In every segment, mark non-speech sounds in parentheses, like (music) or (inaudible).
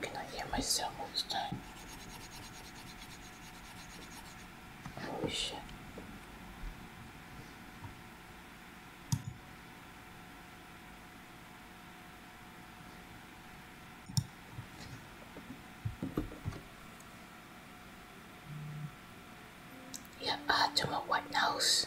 Can I hear myself all this time? Holy shit. Yeah, I uh, do my white nose.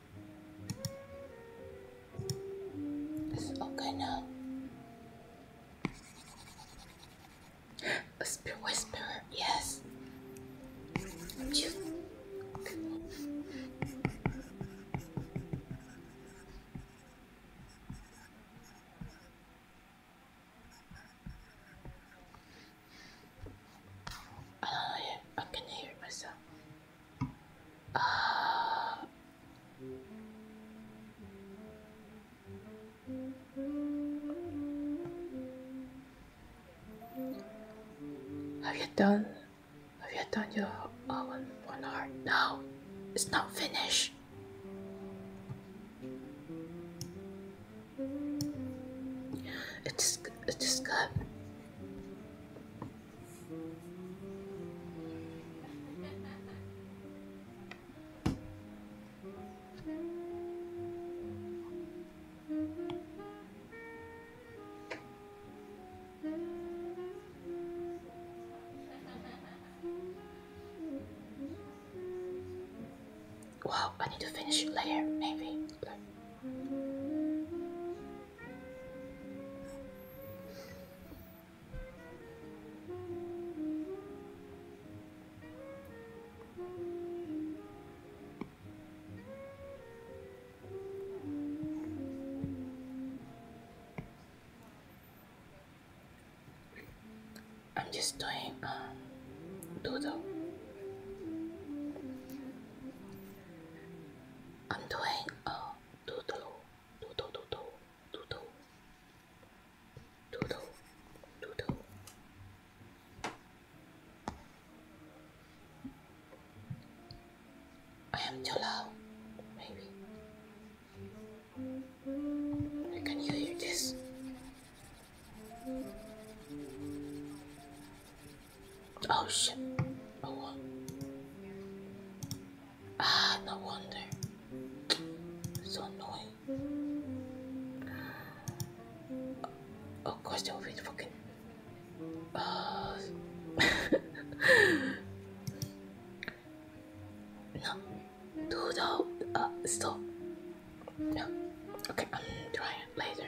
It's okay now. A spirit whisperer, yes. I don't know, I can hear myself. Have you done? Have you done your own one hour? No, it's not finished. It is. It is good. Wow, I need to finish layer, maybe. I'm just doing um doodle. I'm doing uh doodle, doodle, doodle, doodle, doodle, doodle. I am too loud, maybe. I can hear this? Oh shit. Oh well. Ah, no wonder. It's so annoying. Of course they will be fucking uh (laughs) No Dude, oh, uh, stop. No. Okay, I'm trying later.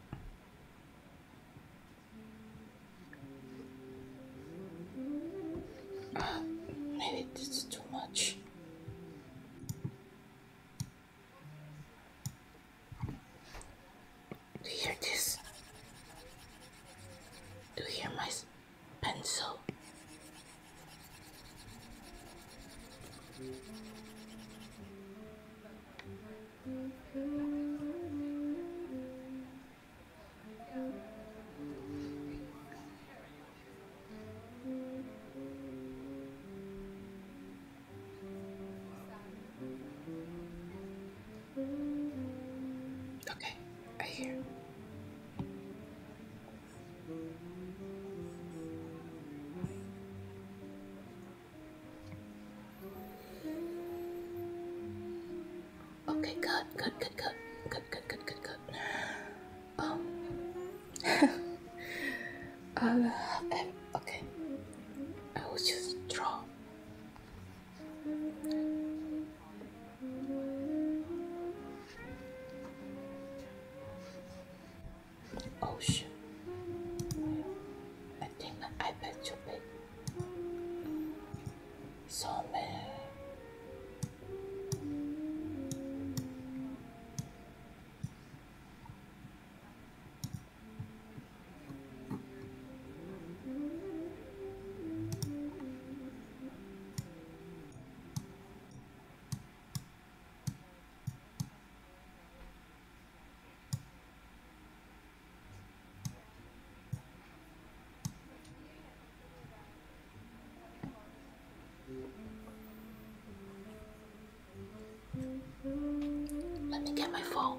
maybe this is too much. Do you hear this? Do you hear my pencil? Okay, I hear. Okay, good, good, good, good, good, good, good, good, good. okay, I will just draw ocean. I think I bet too big. So many. Let me get my phone.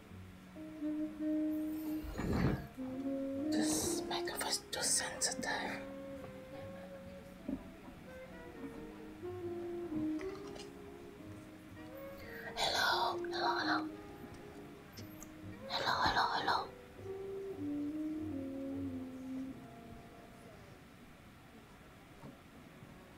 This microphone is too sensitive. Hello, hello, hello. Hello, hello, hello.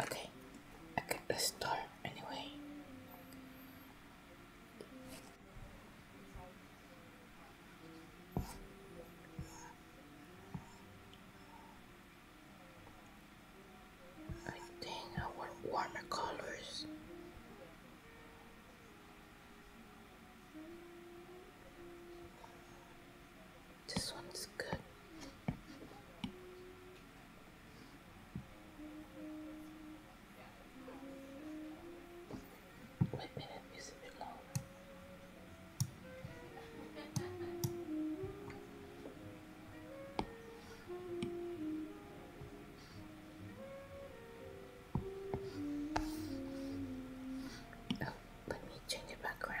Okay, I get the star anyway. I think I want warmer colors. This one's good. Wait a minute, it's Oh, let me change the background.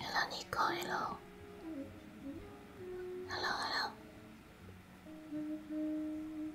Hello, Nico. Hello. Hello, hello.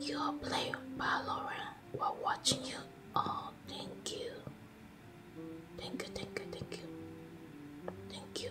You're played playing Valorant while watching you. Oh, thank you. Thank you, thank you, thank you. Thank you.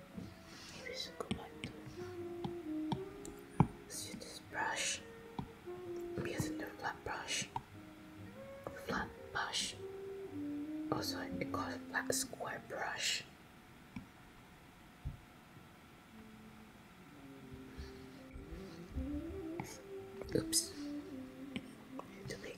Maybe should go back to let's use this brush. using the flat brush. Flat brush. Also it calls flat square brush. Oops. Too big.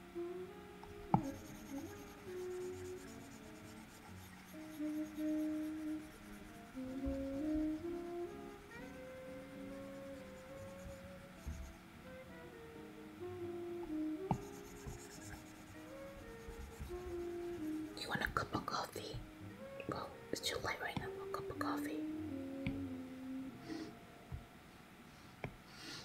You want a cup of coffee? Well, it's too late right now. A cup of coffee.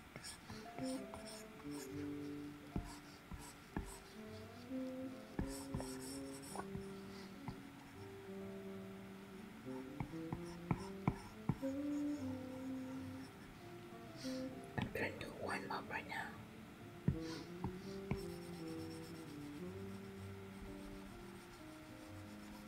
I'm trying to wind up right now.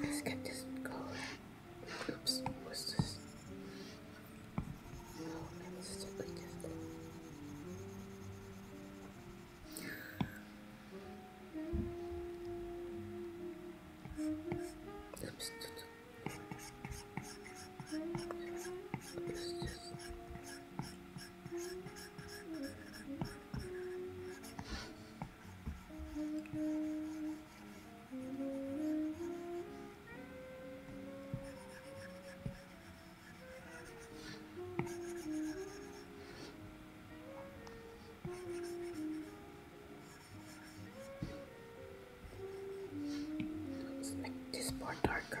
Let's get this going. Oops, what's this? No, it's stupid gift. Oops. Oops. Let's make this part darker.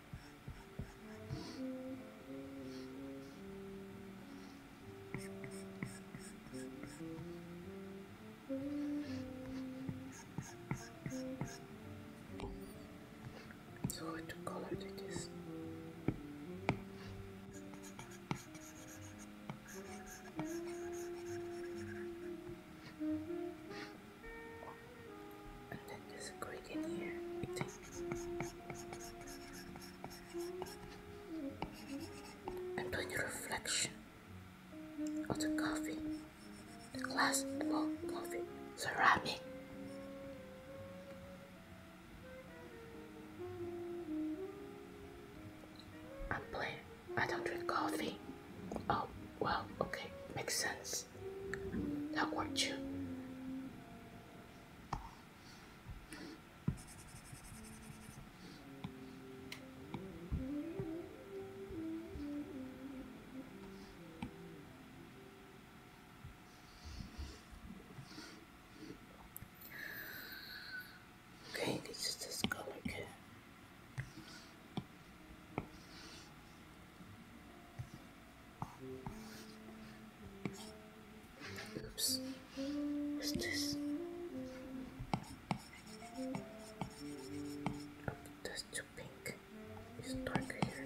So what color it is? And then just click in here. And am doing reflection of oh, the coffee, the glass about coffee, ceramic. I'm playing. I don't drink coffee. Oh, well, okay, makes sense. That worked too. Okay, this is this color. Okay. Oops. What's this? that's too pink. It's darker here.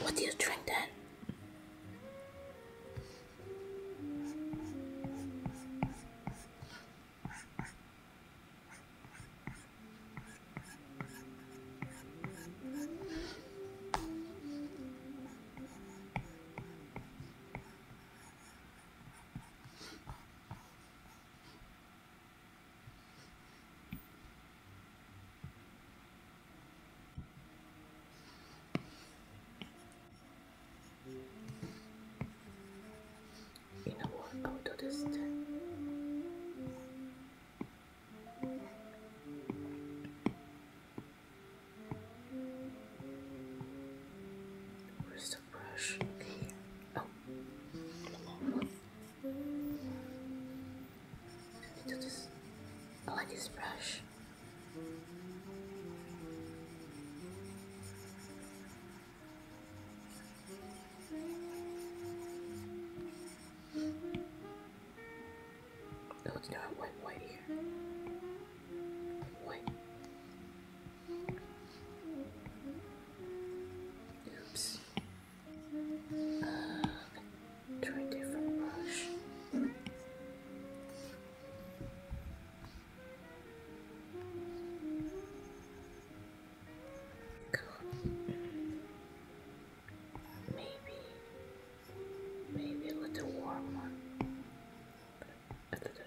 What do you drink then? You know what? I'll do this then. brush? Okay. Oh. I like this brush. No, it's not. White, white here. White. Oops. Uh, try different brush. God. Maybe, maybe a little warmer. A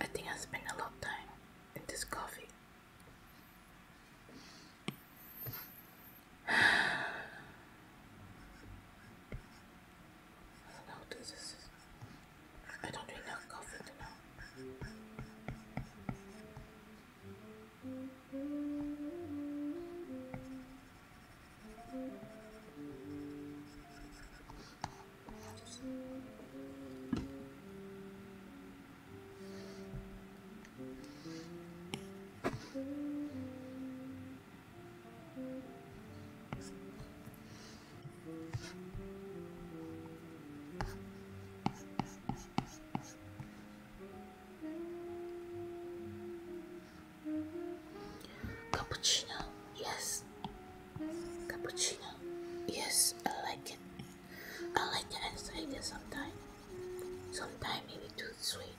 I think I spent a lot of time in this coffee. (sighs) I don't know what this is. I don't drink enough coffee to know. Cappuccino, yes. Cappuccino, yes. I like it. I like it. I like it sometimes. Sometimes maybe too sweet.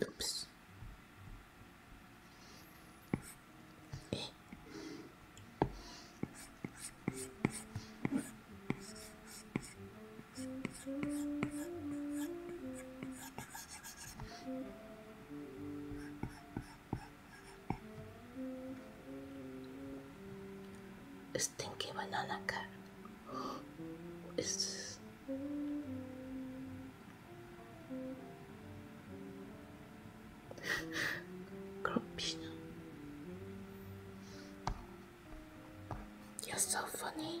Oops. Eh. Stinky banana cat. It's Grumpino. You're so funny.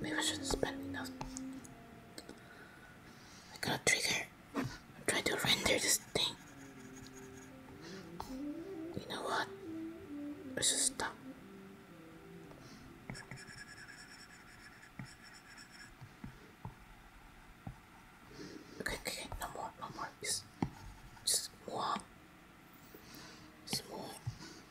Maybe I shouldn't spend enough. I got a trigger. I'm trying to render this thing. You know what? I should stop. Okay, okay, no more, no more. Just, just move on.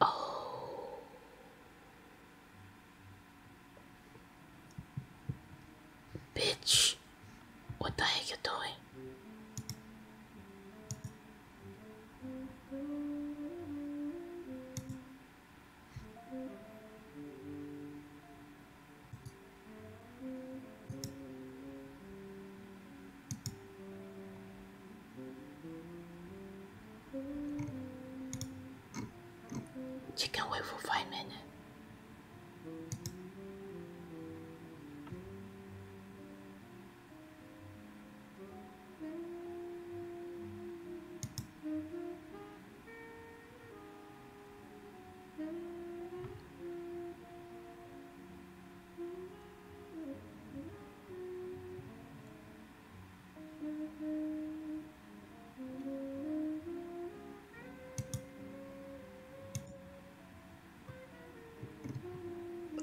Oh. Bitch, what the heck you doing? can wait for five minutes.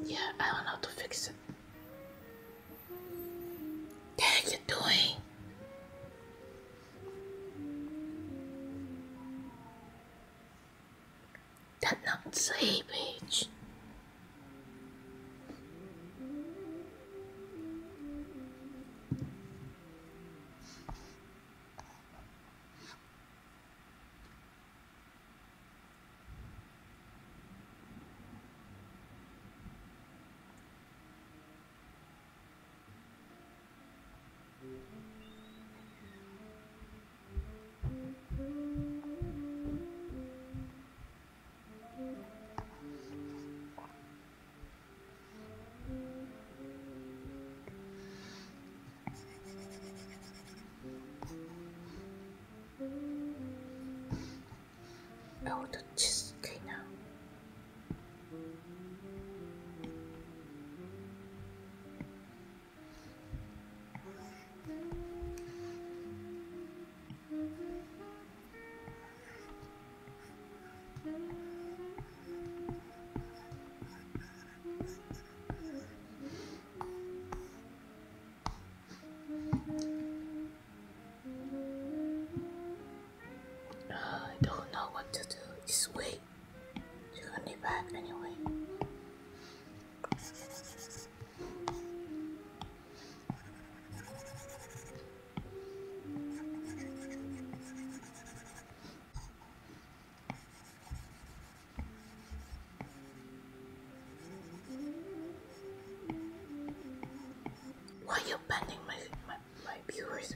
Yeah, I don't know how to fix it. Dang, you doing? that looked savage. Oh, the cheese. Okay, now. I don't know what to do Just wait. You're be back anyway. Why you banning my, my, my viewers?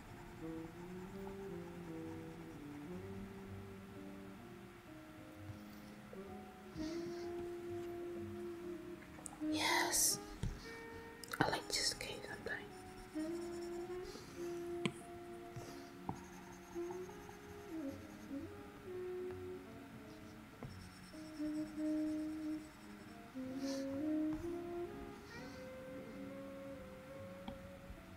Yes, I like this game sometimes.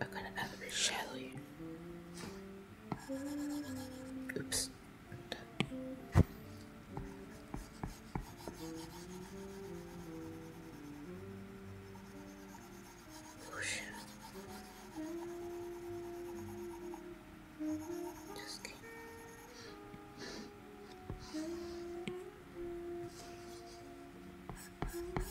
I'm gonna elevate a Oops. Oh shit. Just enough.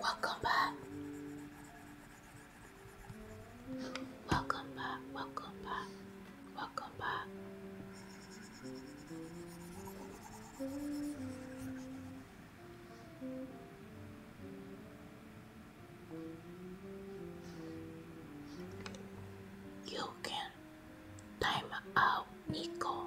Welcome back. Welcome back. Welcome back. Welcome back. You can time out Nico.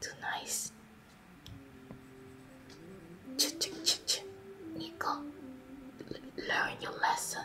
Too nice. Ch ch ch ch. Nico, learn your lesson.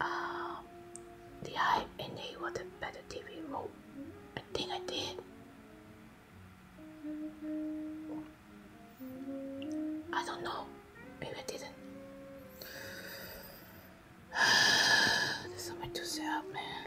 Um, did I enable the better TV mode? I think I did. I don't know. Maybe I didn't. (sighs) There's something to say up, man.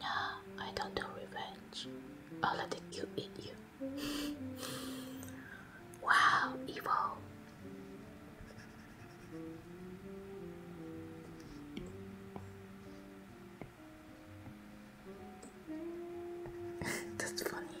No, I don't do revenge. I'll let the you eat you. (laughs) wow, evil. (laughs) That's funny.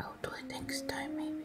I'll do it next time, maybe.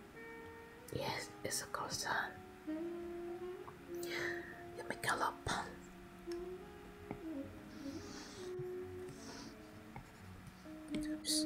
Yes, it's a croissant. You make a lot of fun. Oops.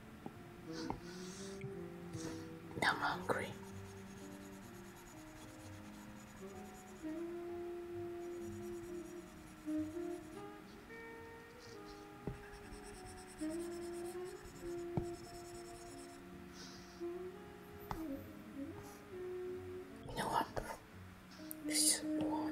I'm hungry. No wonder it's warm.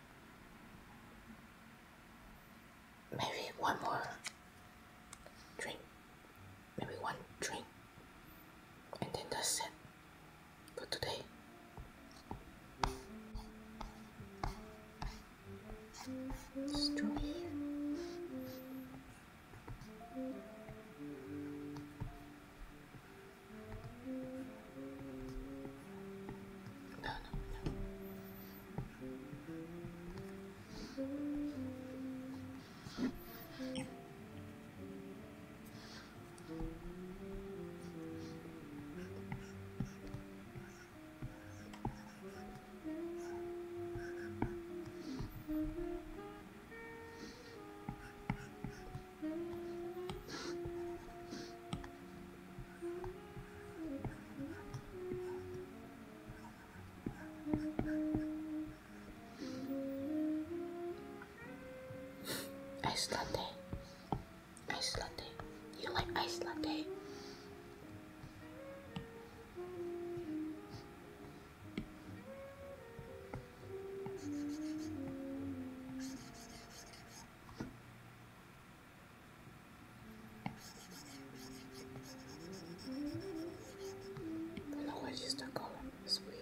Maybe one more drink. Maybe one drink. And then that's it for today. It's no, no, no. Ice latte. Ice latte. You like ice latte? I know The lower sister column is weird.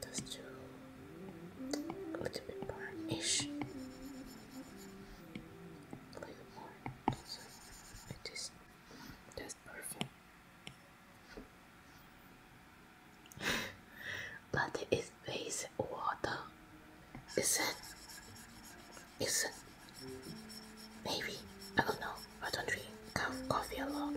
Those two a little bit brown A little more. So it is the is (laughs) but it's basic water, is it? Is it? Maybe I don't know. Why don't we have coffee alone?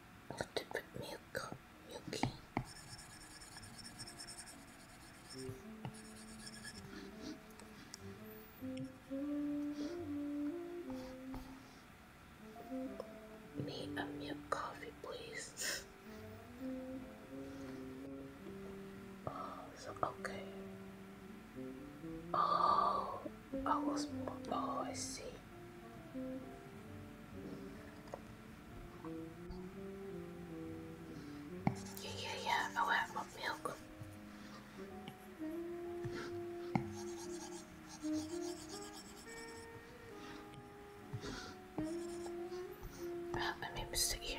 What to put milk, milky. Me a milk coffee, please. oh, so okay. Oh, I was. Oh, I see. Yeah, yeah, yeah. I want milk. Oh, I made here.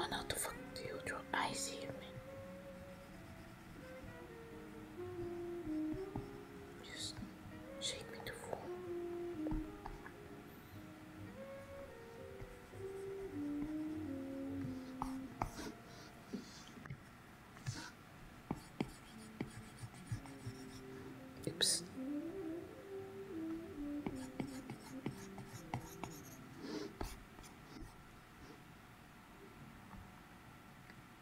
Oh no, the fuck you draw? I see you, just shake me to fall. Oops.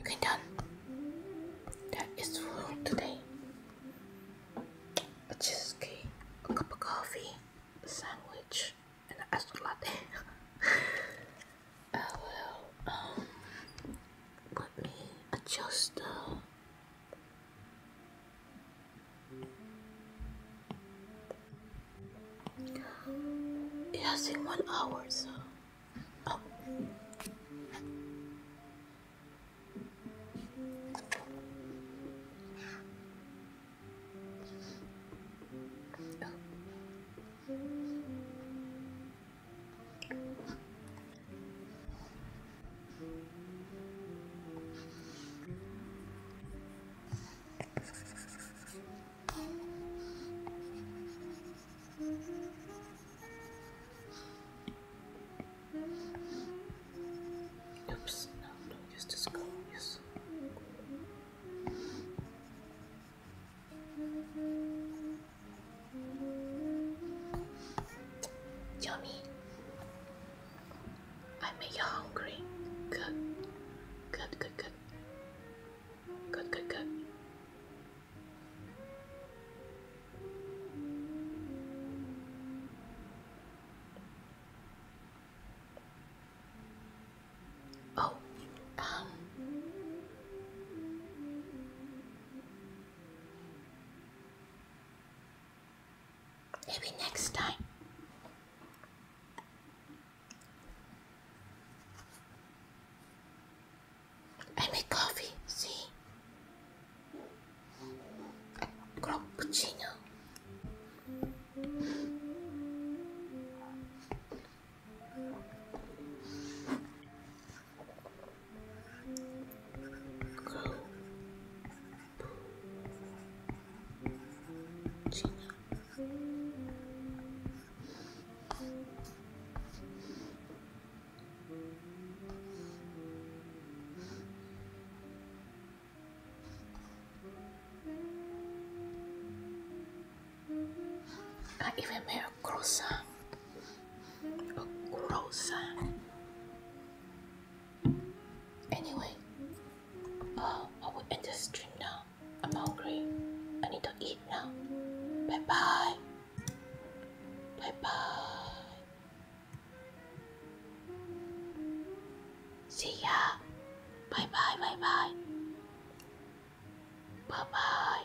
Okay, done. That is full today. A a cup of coffee, a sandwich, and an latte. (laughs) I will um, let me adjust the Yes, in one hour, so. Oh. Oops, no, don't use this go, Yummy. I made you hungry. Good. Good, good, good. Good, good, Oh, um. Maybe next time. I make coffee, see? Cappuccino. Go. I even made a croissant gross Anyway, uh, I will end this stream now. I'm hungry. I need to eat now. Bye bye. Bye bye. See ya. Bye bye. Bye bye. Bye bye.